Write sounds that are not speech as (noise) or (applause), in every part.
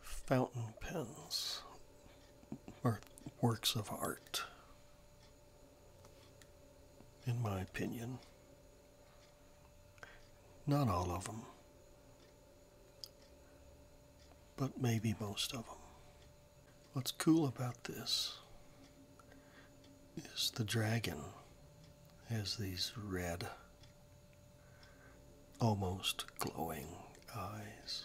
fountain pens are works of art, in my opinion. Not all of them, but maybe most of them. What's cool about this is the dragon has these red almost glowing eyes.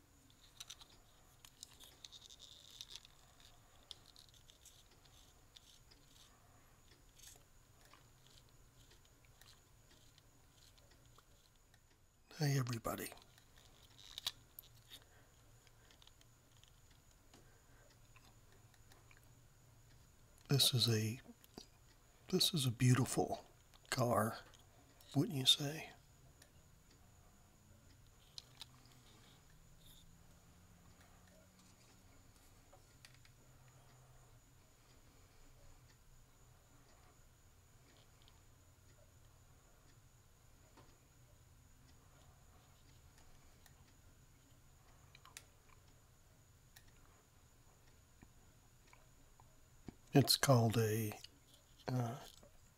Hey, everybody. This is a this is a beautiful car, wouldn't you say? It's called a uh,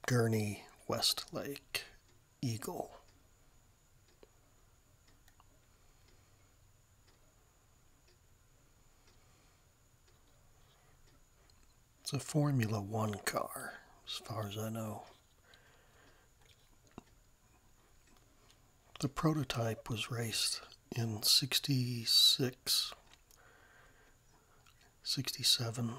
Gurney Westlake Eagle. It's a Formula One car, as far as I know. The prototype was raced in 66, 67.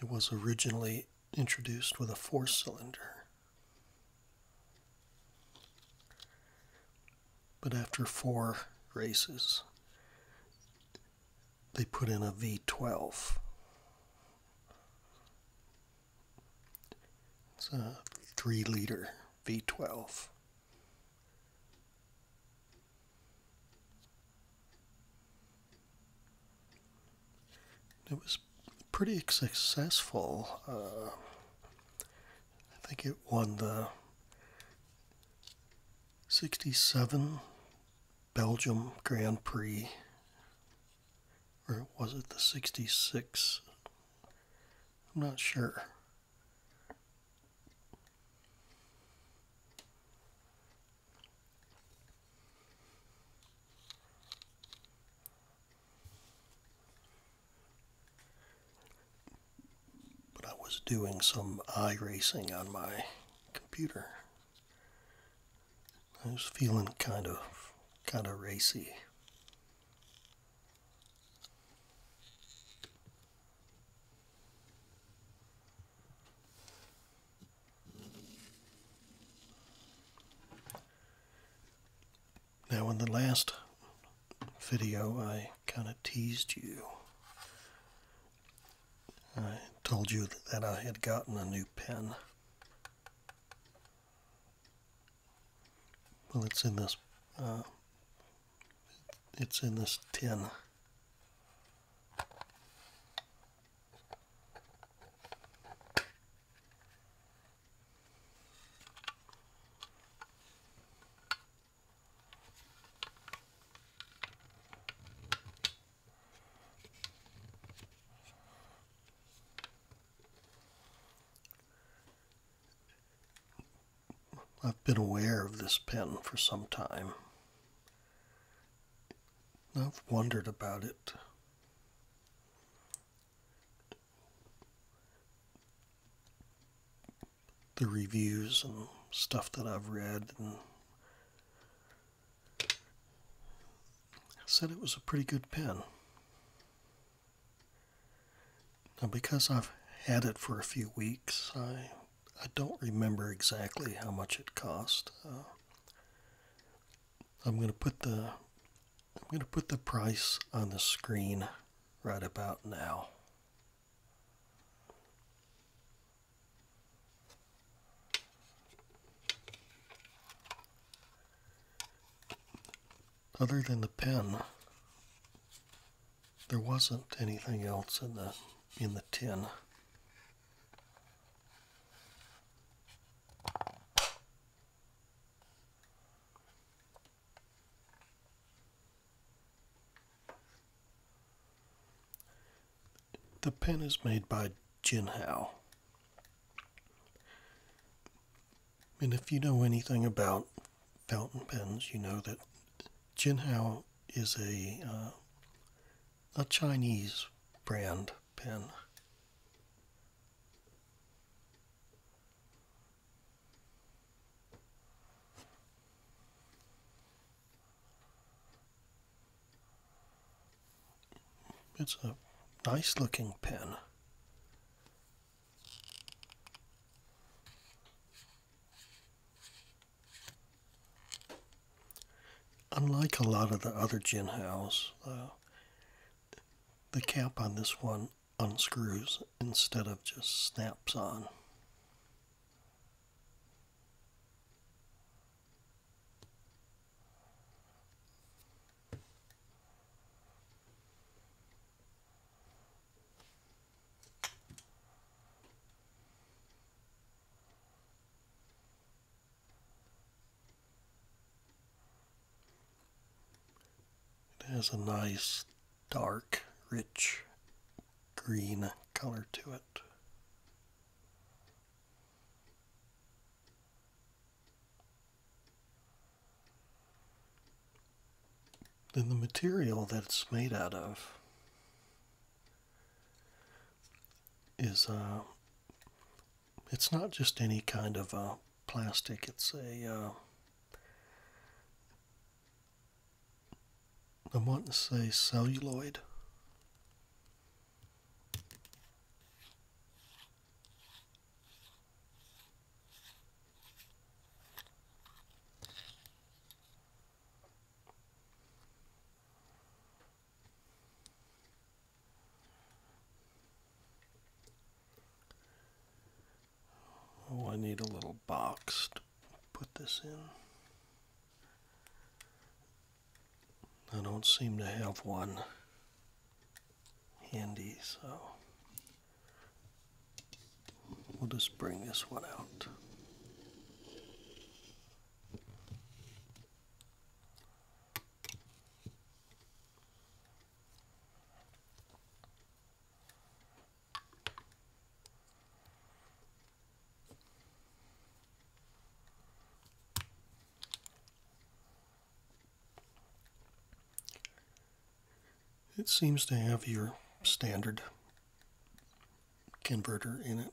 It was originally introduced with a four cylinder. But after four races, they put in a V12. It's a three liter V12. It was pretty successful. Uh, I think it won the 67 Belgium Grand Prix or was it the 66? I'm not sure. But I was doing some eye racing on my computer I was feeling kind of kind of racy. Now in the last video I kind of teased you. I told you that I had gotten a new pen. Well, it's in this. Uh, it's in this tin. I've been aware of this pen for some time. I've wondered about it. The reviews and stuff that I've read I said it was a pretty good pen. Now, because I've had it for a few weeks, I I don't remember exactly how much it cost. Uh, I'm gonna put the I'm gonna put the price on the screen right about now. Other than the pen, there wasn't anything else in the in the tin. The pen is made by Jinhao. And if you know anything about fountain pens, you know that Jinhao is a uh, a Chinese brand pen. It's a nice looking pen. Unlike a lot of the other gin though, uh, the cap on this one unscrews instead of just snaps on. It has a nice, dark, rich green color to it. Then the material that it's made out of is uh, it's not just any kind of uh, plastic it's a uh, I want to say celluloid Oh, I need a little box to put this in. I don't seem to have one handy, so we'll just bring this one out. It seems to have your standard converter in it.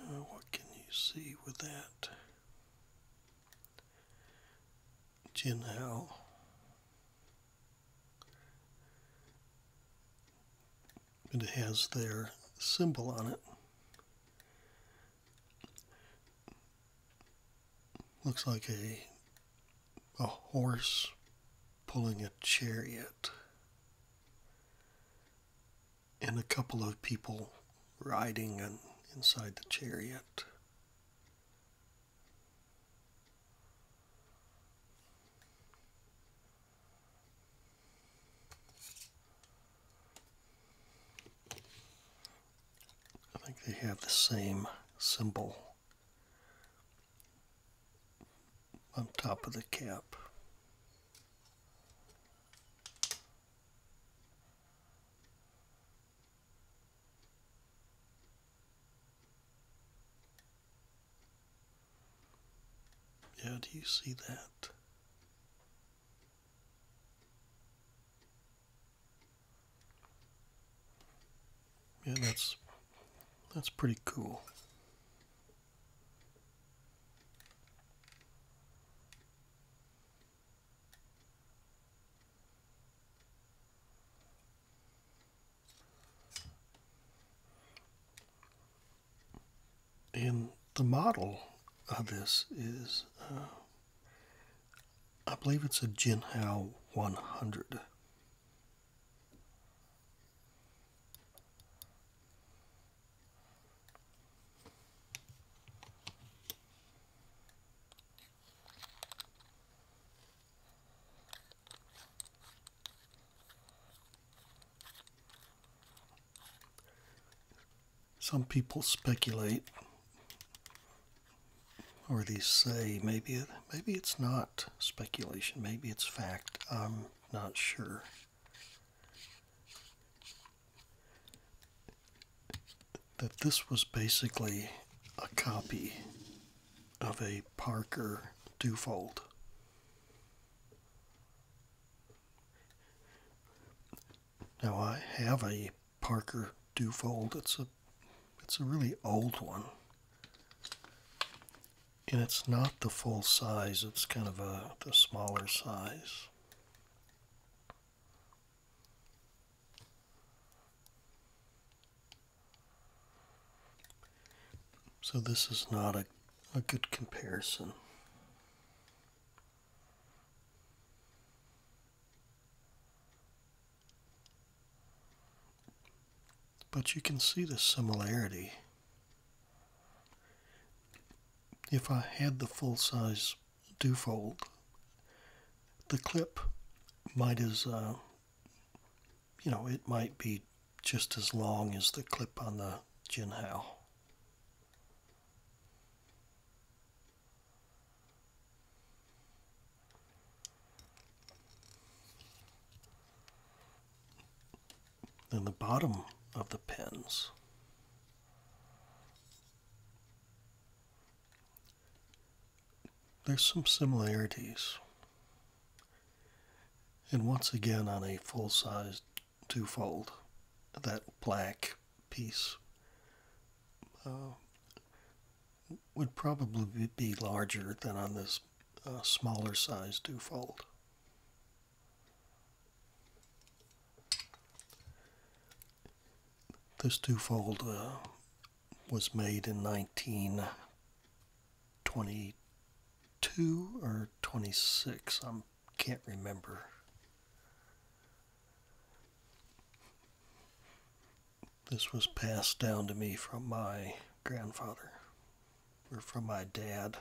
Uh, what can you see with that? Jin Hao. It has their symbol on it. Looks like a a horse pulling a chariot and a couple of people riding inside the chariot. I think they have the same symbol on top of the cap. Yeah, do you see that? Yeah, that's that's pretty cool. In the model of this is, uh, I believe it's a Jinhao 100. Some people speculate, or they say maybe it, maybe it's not speculation, maybe it's fact. I'm not sure that this was basically a copy of a Parker Dufold. Now I have a Parker Dufold. It's a it's a really old one. And it's not the full size, it's kind of a the smaller size. So this is not a, a good comparison. But you can see the similarity if I had the full size Dufold, the clip might as, uh, you know, it might be just as long as the clip on the Jinhao than the bottom of the pins. There's some similarities. And once again, on a full sized twofold, that black piece uh, would probably be larger than on this uh, smaller size twofold. This twofold uh, was made in 1922 or 26. I can't remember. This was passed down to me from my grandfather or from my dad.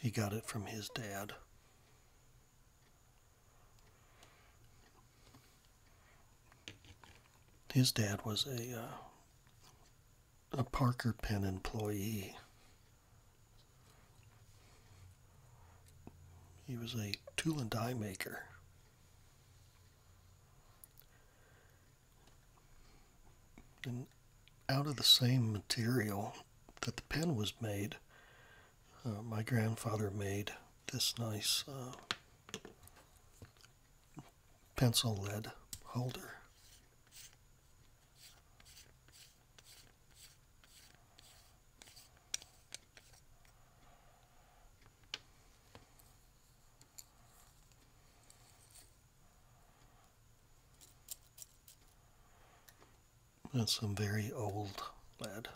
He got it from his dad. His dad was a uh, a Parker Pen employee. He was a tool and die maker out of the same material that the pen was made. Uh, my grandfather made this nice uh, pencil lead holder. That's some very old lead.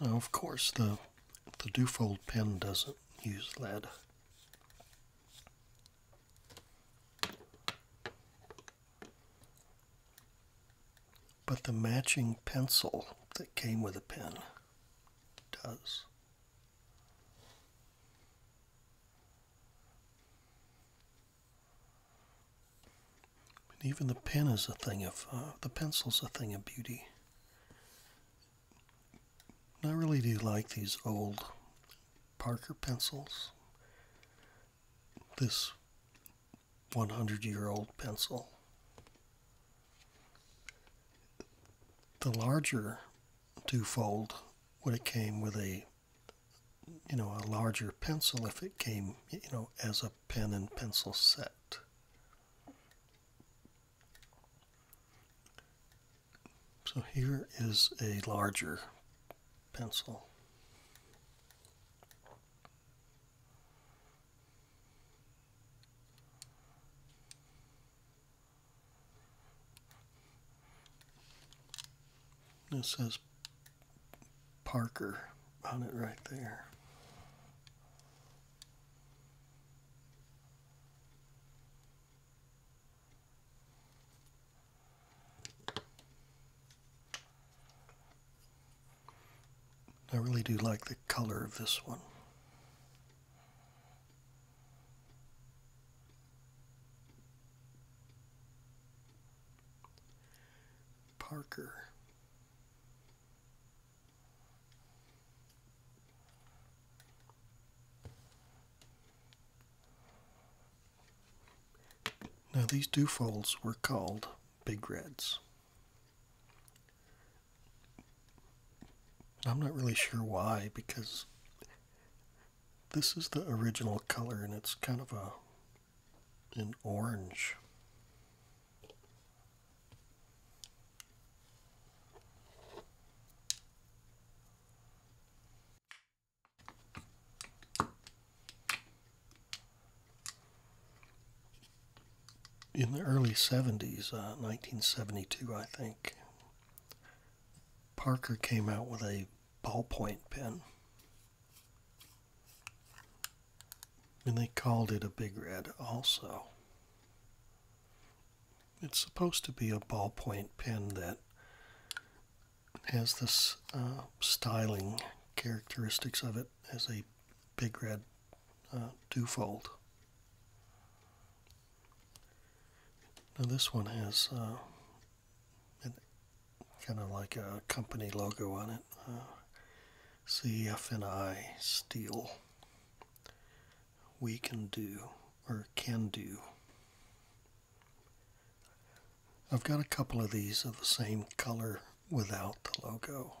Now, of course, the, the Dufold pen doesn't use lead. But the matching pencil that came with the pen does. even the pen is a thing of, uh, the pencil's a thing of beauty. I really do like these old Parker pencils. This 100 year old pencil. The larger twofold would have came with a you know a larger pencil if it came you know as a pen and pencil set. So here is a larger pencil. This says Parker on it right there. I really do like the color of this one. Parker. Now, these two folds were called Big Reds. I'm not really sure why, because this is the original color and it's kind of a an orange in the early 70s, 1972, uh, I think, Parker came out with a ballpoint pen. And they called it a Big Red also it's supposed to be a ballpoint pen that has this uh, styling characteristics of it as a big red uh, fold. Now this one has uh, kind of like a company logo on it, uh, CFNI Steel we can do or can do. I've got a couple of these of the same color without the logo.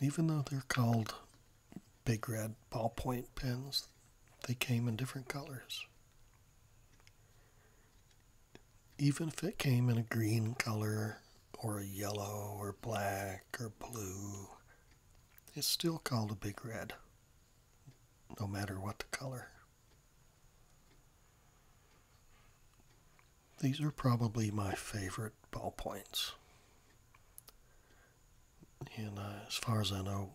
Even though they're called big red ballpoint pens, they came in different colors. Even if it came in a green color or a yellow or black or blue it's still called a big red, no matter what the color. These are probably my favorite ballpoints. And uh, as far as I know,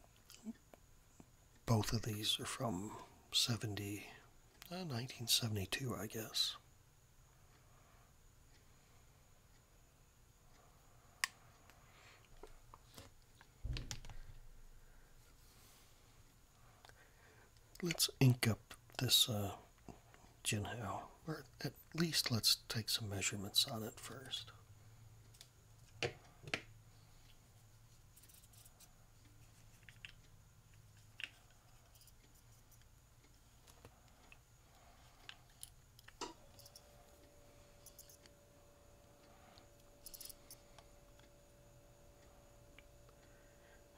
both of these are from 70, 1972, uh, I guess. Let's ink up this Jinhao, uh, or at least let's take some measurements on it first.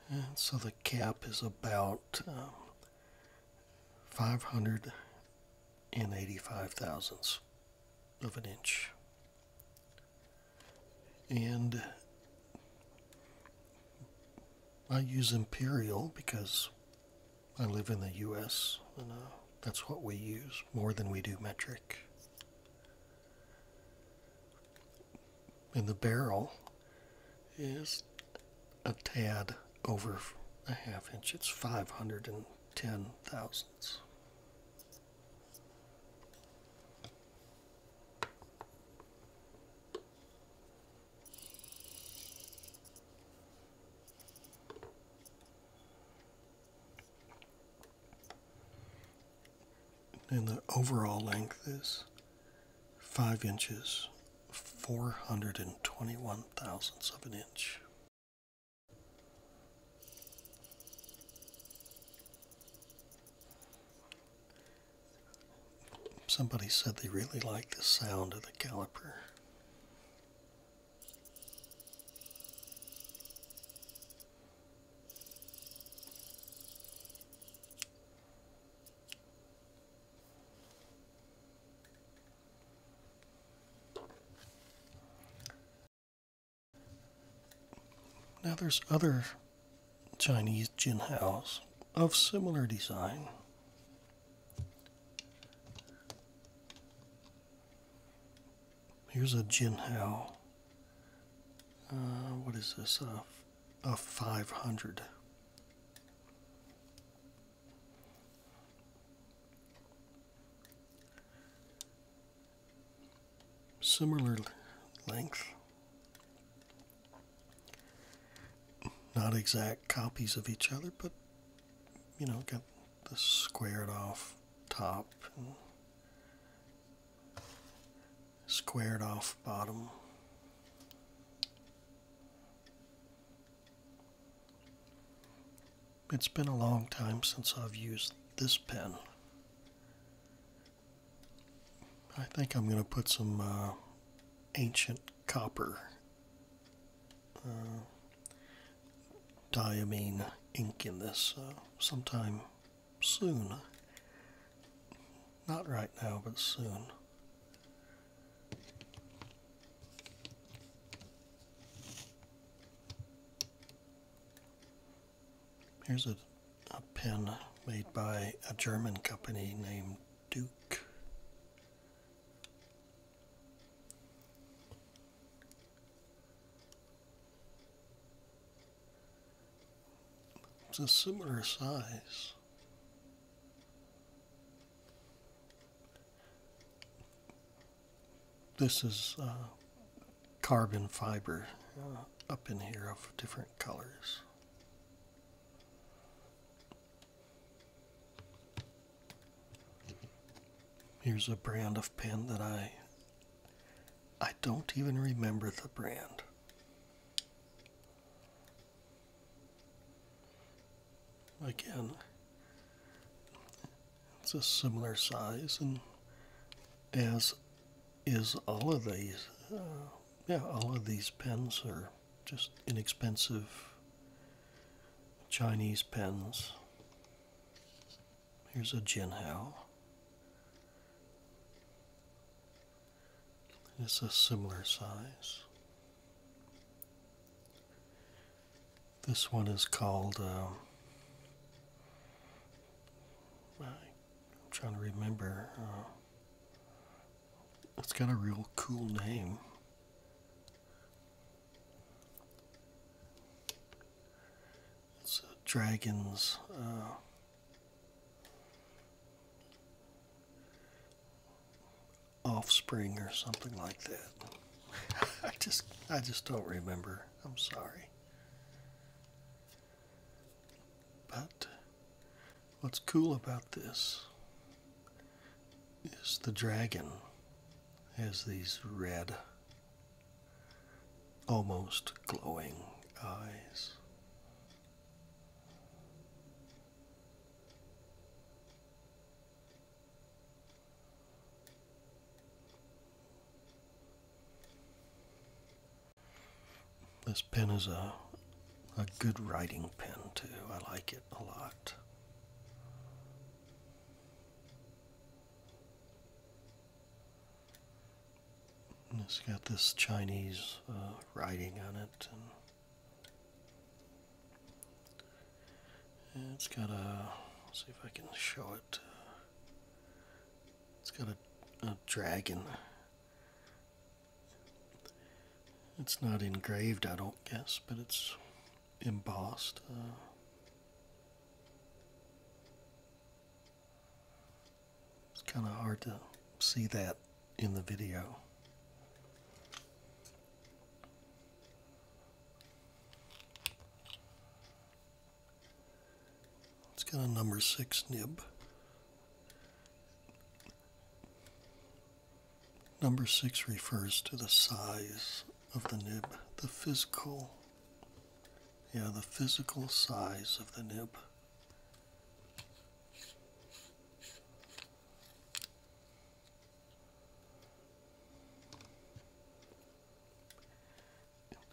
And so the cap is about um, 585 thousandths of an inch. And I use imperial because I live in the US, uh, that's what we use more than we do metric. And the barrel is a tad over a half inch, it's 510 thousandths. And the overall length is 5 inches, 421 thousandths of an inch. Somebody said they really like the sound of the caliper. Now there's other Chinese Jinhaos of similar design. Here's a Jinhao. Uh, what is this? a 500. Similar length. Not exact copies of each other, but you know, got the squared off top squared off bottom. It's been a long time since I've used this pen. I think I'm going to put some uh, ancient copper uh, diamine ink in this uh, sometime soon. Not right now, but soon. Here's a, a pen made by a German company named Duke. It's a similar size. This is uh, carbon fiber uh, up in here of different colors. Here's a brand of pen that I I don't even remember the brand. Again, it's a similar size and as is all of these uh, yeah all of these pens are just inexpensive Chinese pens Here's a Jinhao. It's a similar size. This one is called, um, I'm trying to remember. Uh, it's got a real cool name. It's a uh, dragon's uh, offspring or something like that. (laughs) I just I just don't remember. I'm sorry. But what's cool about this is the dragon has these red almost glowing eyes. This pen is a, a good writing pen, too. I like it a lot it's got this Chinese uh, writing on it, and, it's got a. see if I can show it. It's got a dragon. It's not engraved, I don't guess, but it's embossed. Uh, it's kind of hard to see that in the video. It's got a number six nib. Number six refers to the size of the nib, the physical yeah, the physical size of the nib.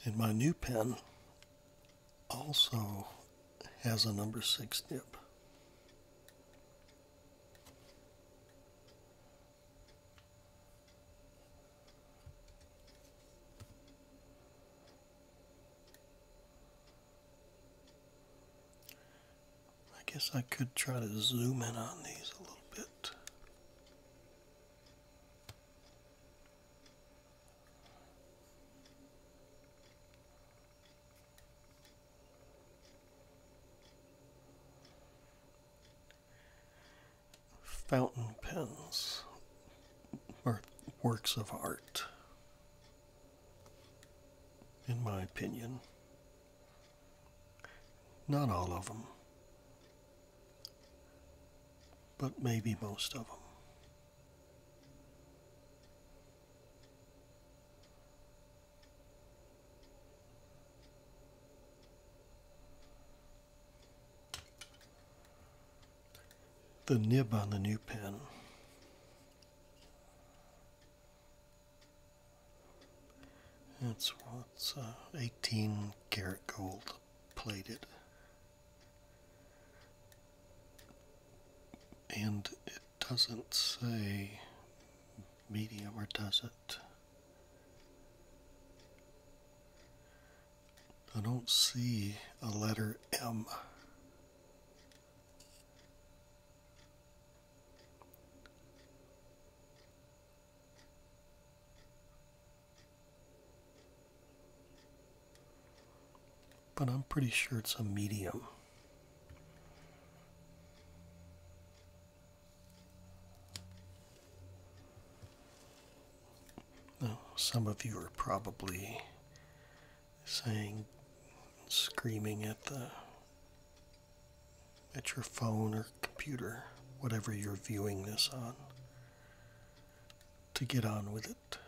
And my new pen also has a number six nib. I guess I could try to zoom in on these a little bit fountain pens are works of art, in my opinion. Not all of them, but maybe most of them the nib on the new pen. It's what's uh, 18 karat gold plated. And it doesn't say medium or does it? I don't see a letter M. But I'm pretty sure it's a medium. Now, some of you are probably saying, screaming at the at your phone or computer, whatever you're viewing this on, to get on with it.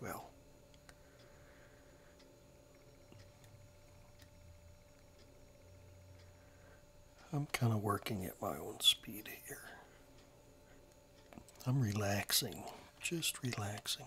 Well, I'm kind of working at my own speed here. I'm relaxing, just relaxing.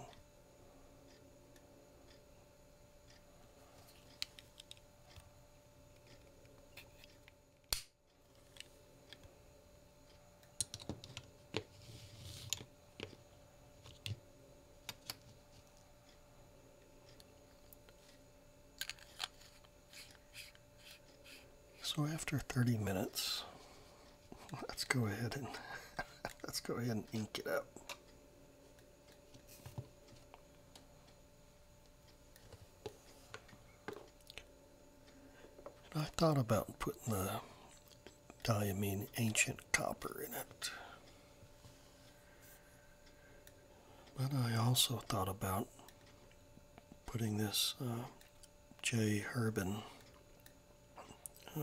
So after 30 minutes, let's go ahead and (laughs) let's go ahead and ink it up. I thought about putting the diamine ancient copper in it. But I also thought about putting this uh, J. Herbin uh,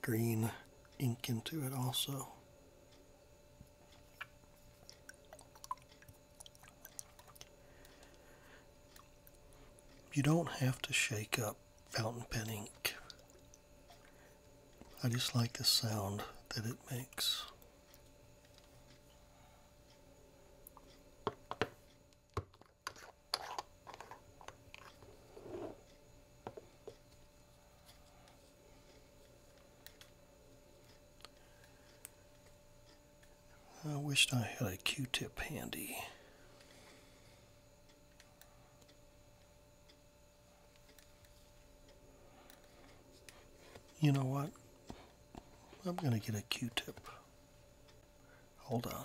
green ink into it also. You don't have to shake up fountain pen ink. I just like the sound that it makes. I wished I had a Q-tip handy. You know what? I'm going to get a Q-tip. Hold on.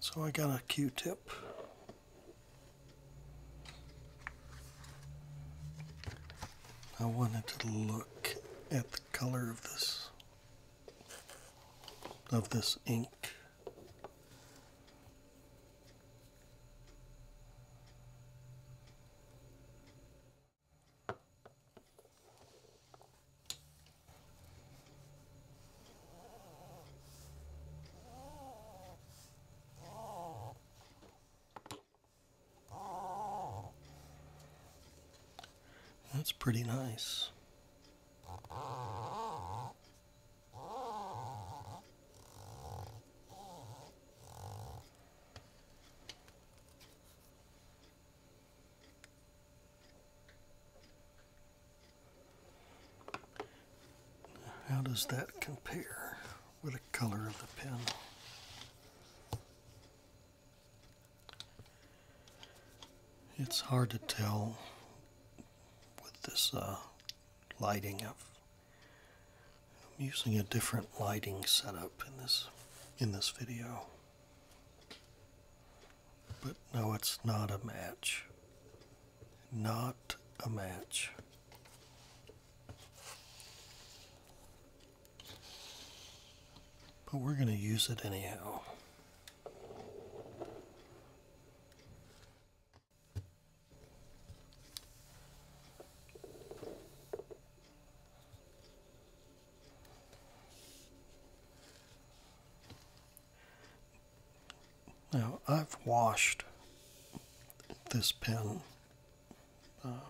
So I got a Q-tip. I wanted to look at the color of this of this ink. That's pretty nice. How does that compare with the color of the pen? It's hard to tell with this uh, lighting. i I'm using a different lighting setup in this in this video. But no, it's not a match. Not a match. But we're going to use it anyhow. Now, I've washed this pen. Uh,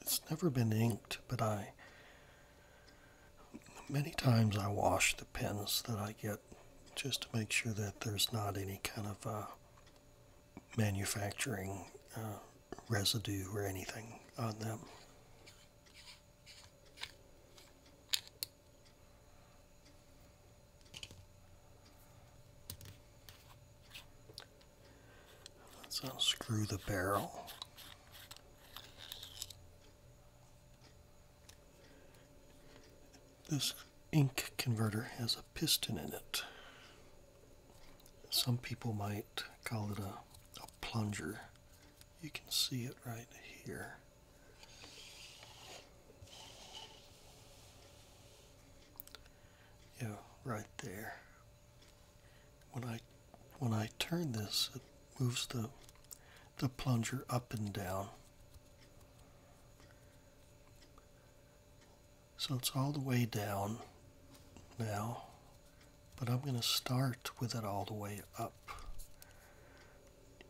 it's never been inked, but I many times I wash the pens that I get just to make sure that there's not any kind of uh, manufacturing uh, residue or anything on them. Let's unscrew the barrel. This ink converter has a piston in it. Some people might call it a, a plunger. You can see it right here. Yeah, right there. When I when I turn this, it moves the the plunger up and down. So it's all the way down now, but I'm going to start with it all the way up.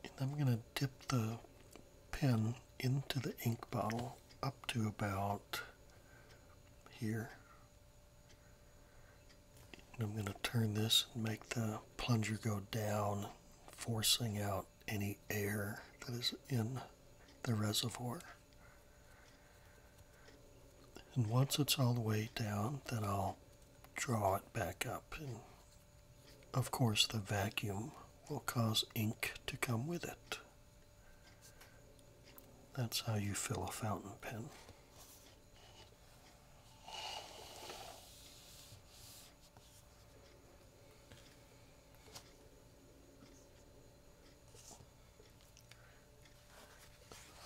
And I'm going to dip the pen into the ink bottle up to about here. And I'm going to turn this and make the plunger go down, forcing out any air that is in the reservoir. And once it's all the way down, then I'll draw it back up of course, the vacuum will cause ink to come with it. That's how you fill a fountain pen.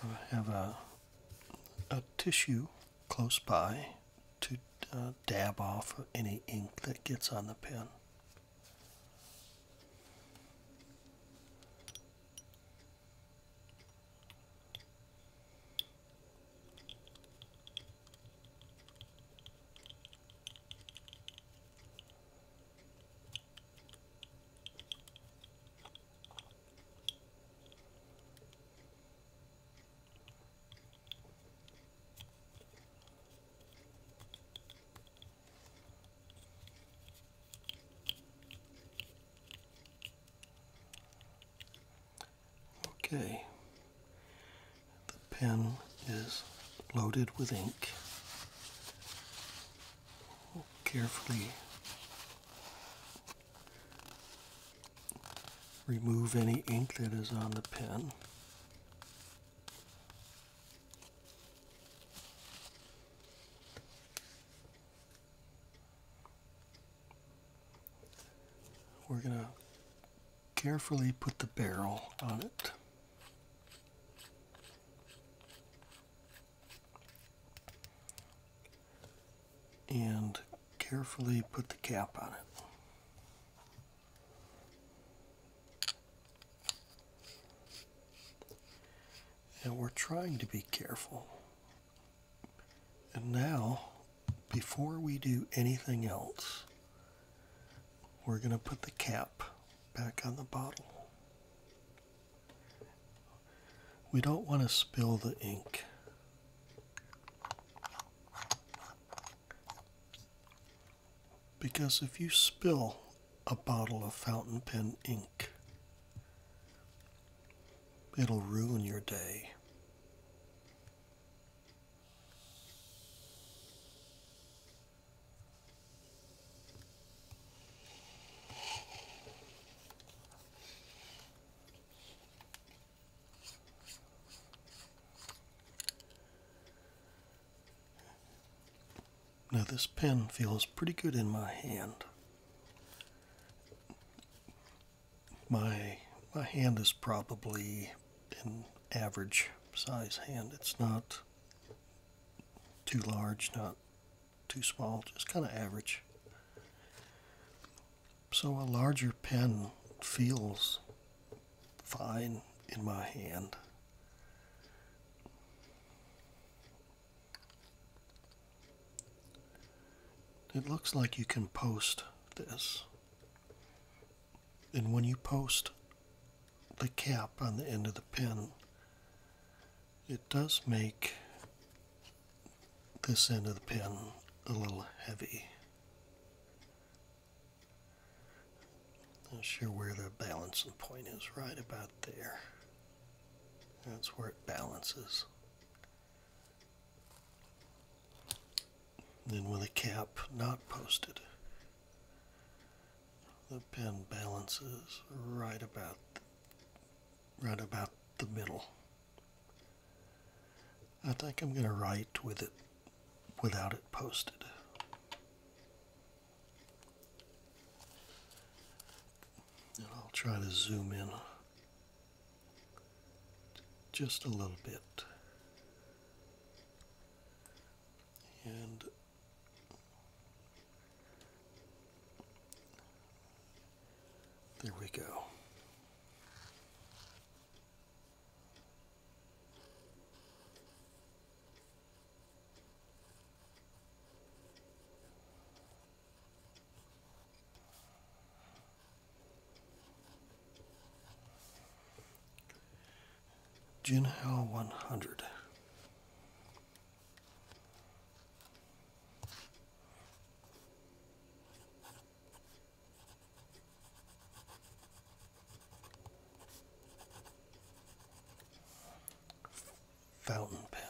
I have a, a tissue close by to uh, dab off any ink that gets on the pen. Okay, the pen is loaded with ink. carefully Remove any ink that is on the pen. We're going to carefully put the barrel on it. and carefully put the cap on it. And we're trying to be careful. And now, before we do anything else, we're going to put the cap back on the bottle. We don't want to spill the ink. Because if you spill a bottle of fountain pen ink, it'll ruin your day. Now, this pen feels pretty good in my hand. My, my hand is probably an average size hand. It's not too large, not too small, just kind of average. So a larger pen feels fine in my hand. It looks like you can post this. And when you post the cap on the end of the pen, it does make this end of the pen a little heavy. Not sure where the balancing point is, right about there. That's where it balances. Then with a cap not posted, the pen balances right about right about the middle. I think I'm going to write with it without it posted. And I'll try to zoom in just a little bit. And there we go. Jinhao 100 fountain pen.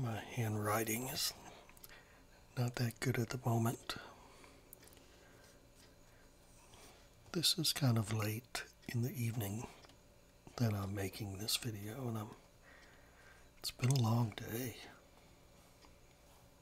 My handwriting is not that good at the moment. This is kind of late in the evening that I'm making this video and I'm it's been a long day.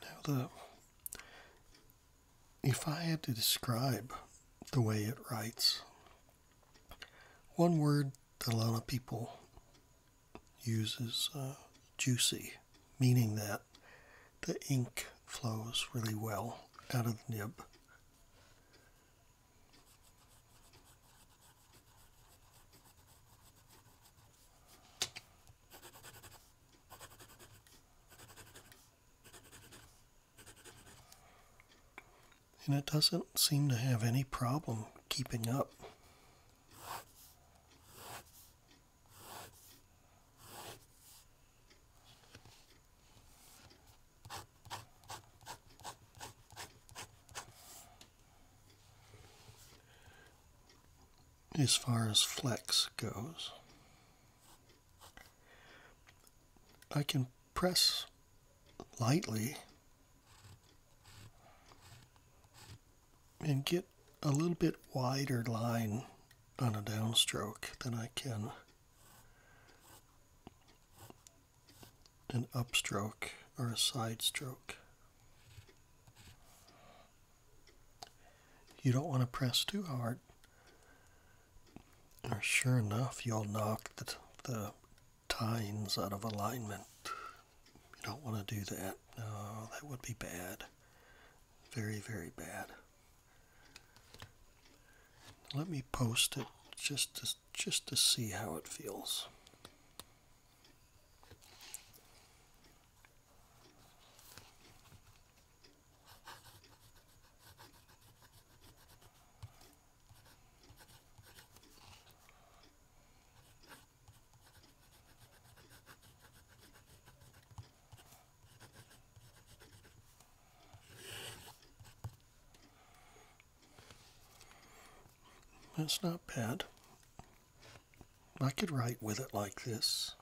Now, the, if I had to describe the way it writes, one word that a lot of people use is uh, juicy, meaning that the ink flows really well out of the nib and it doesn't seem to have any problem keeping up. as far as flex goes. I can press lightly and get a little bit wider line on a downstroke than I can an upstroke or a side stroke. You don't want to press too hard, or sure enough, you'll knock the, the times out of alignment. You don't want to do that. No, that would be bad. Very, very bad. Let me post it just to, just to see how it feels. That's not bad. I could write with it like this.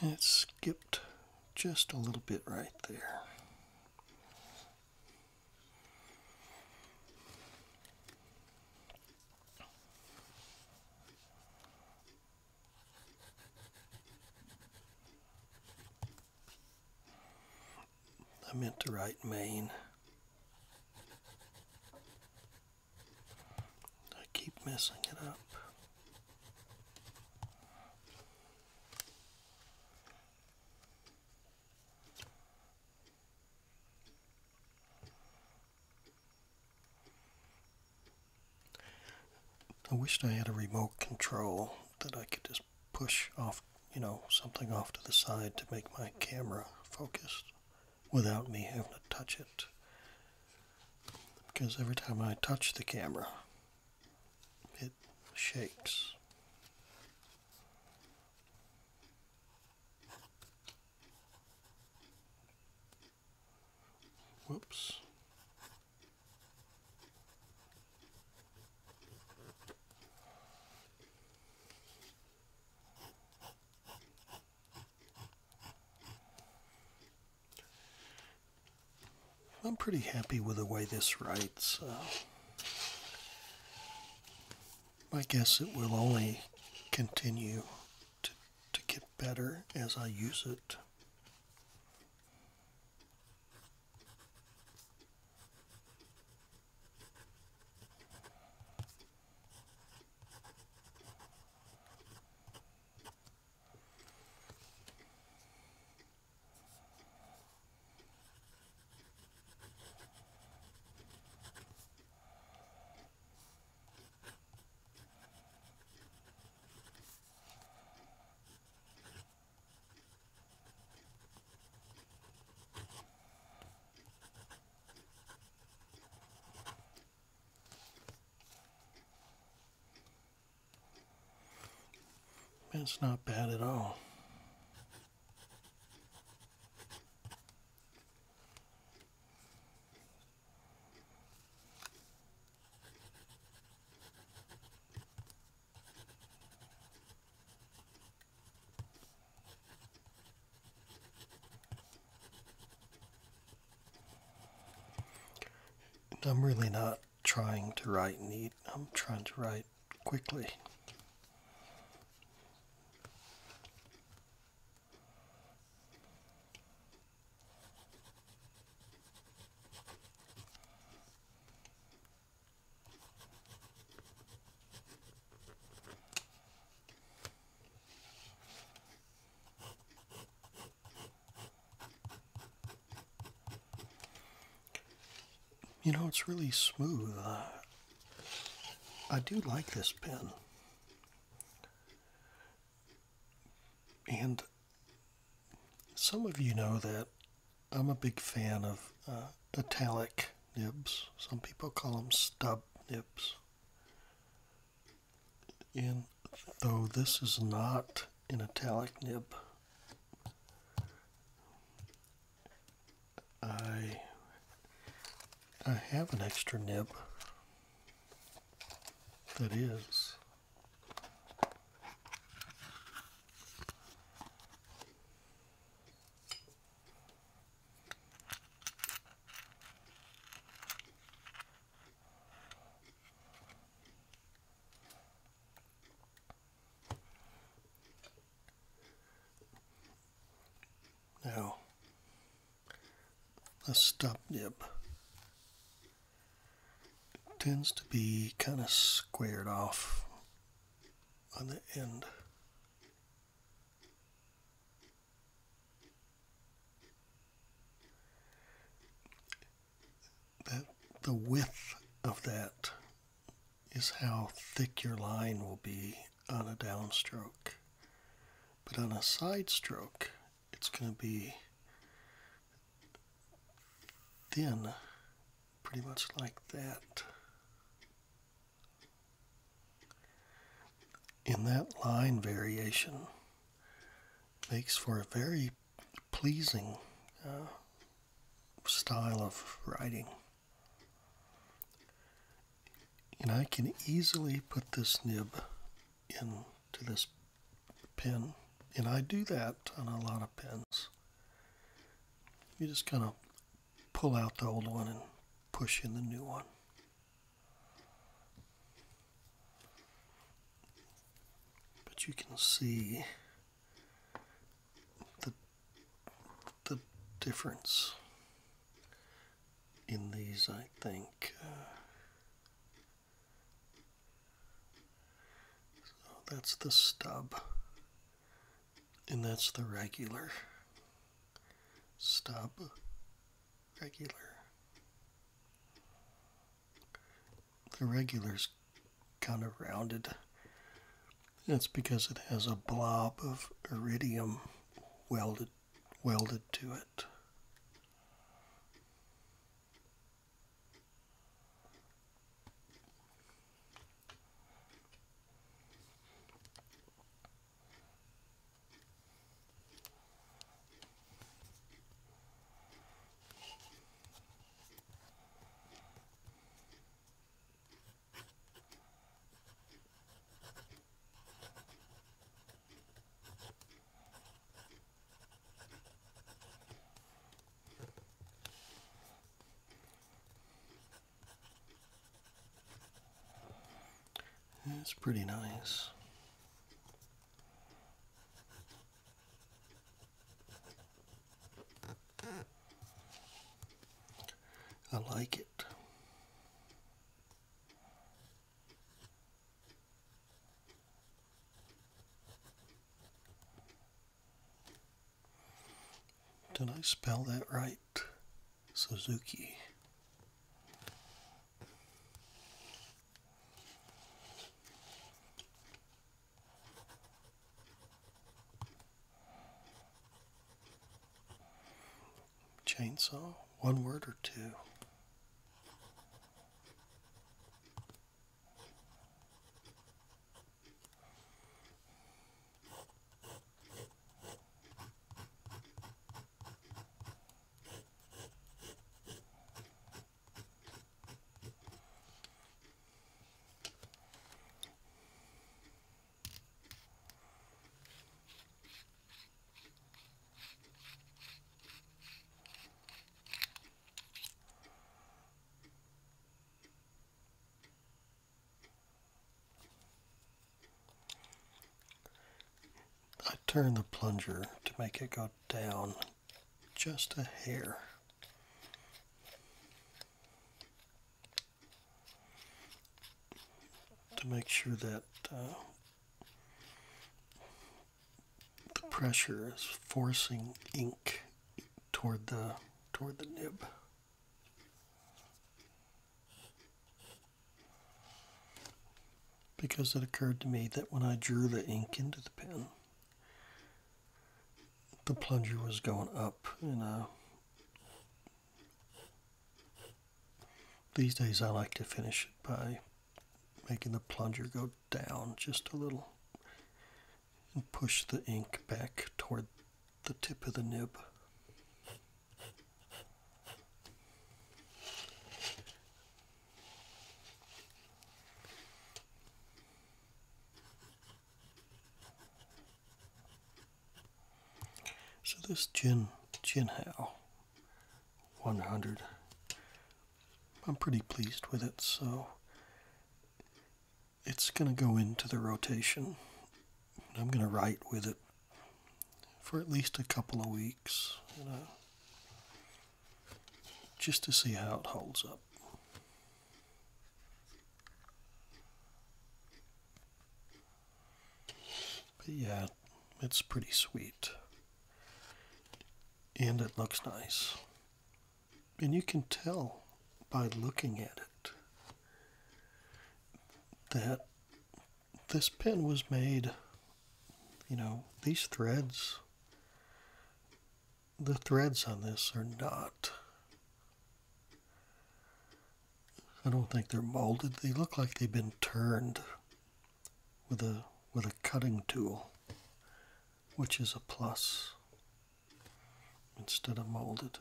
And it skipped just a little bit right there. I meant to write Maine. I keep messing it up. I wished I had a remote control that I could just push off, you know, something off to the side to make my camera focused without me having to touch it. Because every time I touch the camera, it shakes. Whoops. I'm pretty happy with the way this writes. Uh, I guess it will only continue to, get better as I use it. That's not bad at all. I'm really not trying to write neat. I'm trying to write quickly. You know, it's really smooth. Uh, I do like this pen. And some of you know that I'm a big fan of uh, italic nibs. Some people call them stub nibs. And though this is not an italic nib, I I have an extra nib that is now, a stop nib tends to be kind of squared off on the end. That the width of that is how thick your line will be on a downstroke. But on a side stroke, it's going to be thin, pretty much like that. In that line variation makes for a very pleasing uh, style of writing. And I can easily put this nib into this pen, And I do that on a lot of pens. You just kind of pull out the old one and push in the new one. But you can see the, the difference in these, I think. Uh, so that's the stub, and that's the regular stub, regular. The regular's kind of rounded. That's because it has a blob of iridium welded welded to it. It's pretty nice. I like it. Did I spell that right? Suzuki chainsaw? One word or two? I turn the plunger to make it go down just a hair to make sure that uh, the pressure is forcing ink toward the toward the nib. Because it occurred to me that when I drew the ink into the pen, the plunger was going up and I these days I like to finish it by making the plunger go down just a little and push the ink back toward the tip of the nib. So this Jin Jinhao 100, I'm pretty pleased with it. So it's going to go into the rotation. I'm going to write with it for at least a couple of weeks, you know, just to see how it holds up. But yeah, it's pretty sweet. And it looks nice. And you can tell by looking at it that this pin was made, you know, these threads, the threads on this are not I don't think they're molded. They look like they've been turned with a with a cutting tool, which is a plus instead of molded.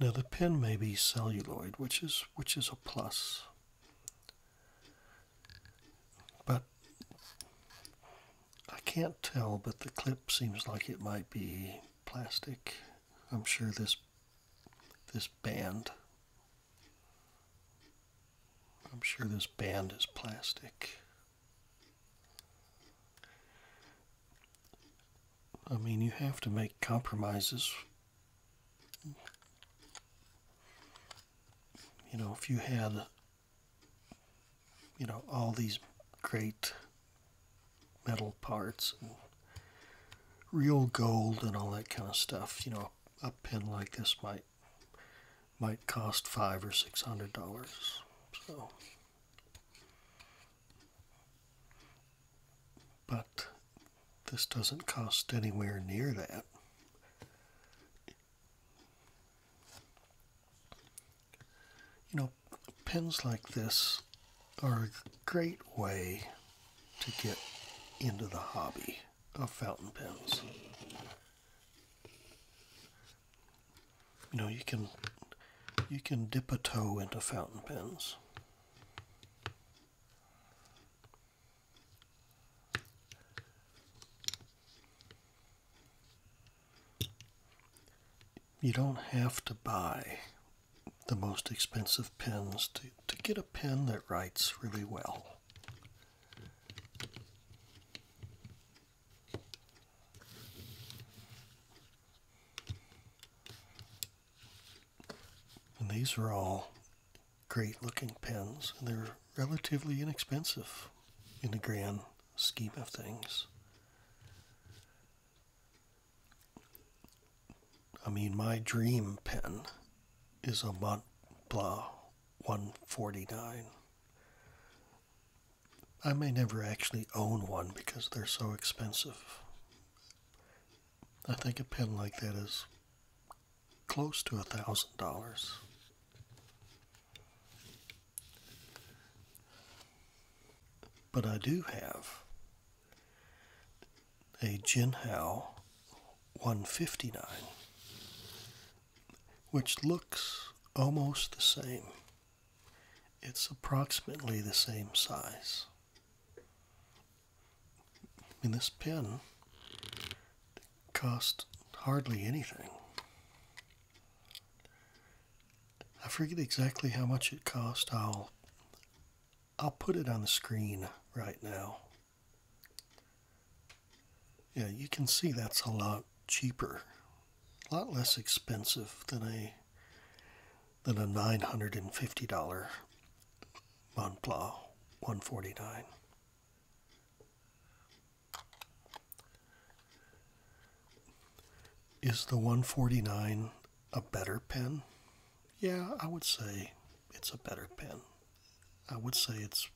Now the pin may be celluloid, which is which is a plus. But I can't tell, but the clip seems like it might be plastic. I'm sure this this band I'm sure this band is plastic. I mean, you have to make compromises. You know, if you had you know, all these great metal parts and real gold and all that kind of stuff. You know, a pin like this might might cost five or six hundred dollars. So, but this doesn't cost anywhere near that. You know, pens like this are a great way to get into the hobby of fountain pens. You know, you can you can dip a toe into fountain pens. You don't have to buy the most expensive pens to, to get a pen that writes really well. And these are all great looking pens, and they're relatively inexpensive in the grand scheme of things. I mean, my dream pen is a Montblanc 149. I may never actually own one because they're so expensive. I think a pen like that is close to a thousand dollars. But I do have a Jinhao 159, which looks almost the same. It's approximately the same size. And this pen cost hardly anything. I forget exactly how much it cost. I'll I'll put it on the screen right now. Yeah, you can see that's a lot cheaper, a lot less expensive than a than a nine hundred and fifty dollar Montblanc one forty nine. Is the 149 a better pen? Yeah, I would say it's a better pen. I would say it's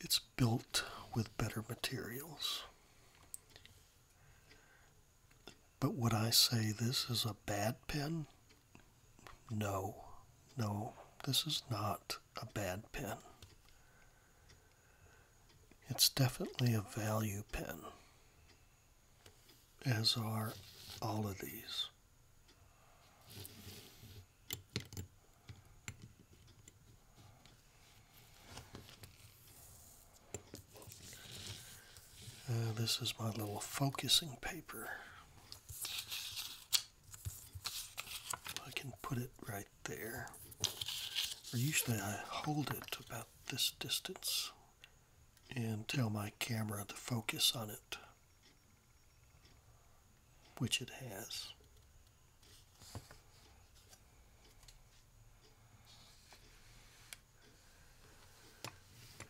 it's built with better materials. But would I say this is a bad pen? No, no, this is not a bad pen. It's definitely a value pen, as are all of these. Uh, this is my little focusing paper. I can put it right there. Or usually I hold it about this distance and tell my camera to focus on it, which it has.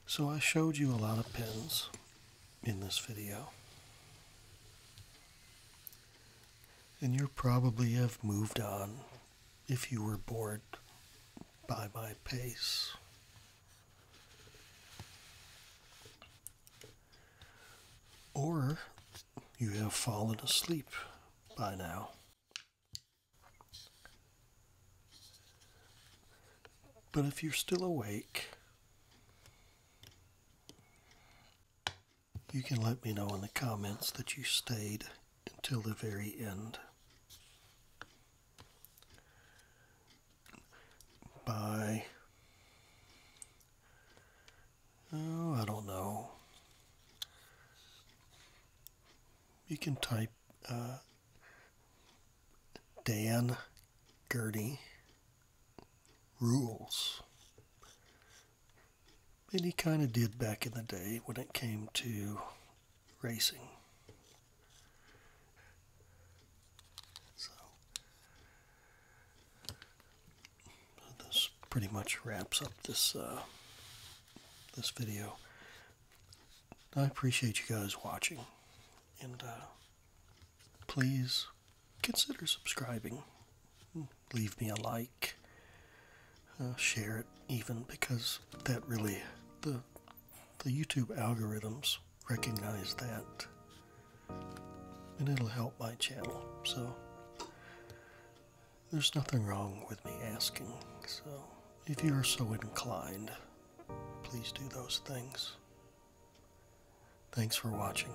So I showed you a lot of pens in this video. And you probably have moved on if you were bored by my pace. Or you have fallen asleep by now. But if you're still awake, you can let me know in the comments that you stayed until the very end. By, oh, I don't know. You can type uh, Dan Gertie Rules and he kind of did back in the day when it came to racing. So, this pretty much wraps up this uh, this video. I appreciate you guys watching, and uh, please consider subscribing. Hmm leave me a like, uh, share it even because that really the the YouTube algorithms recognize that, and it'll help my channel. So there's nothing wrong with me asking. So if you are so inclined, please do those things. Thanks for watching.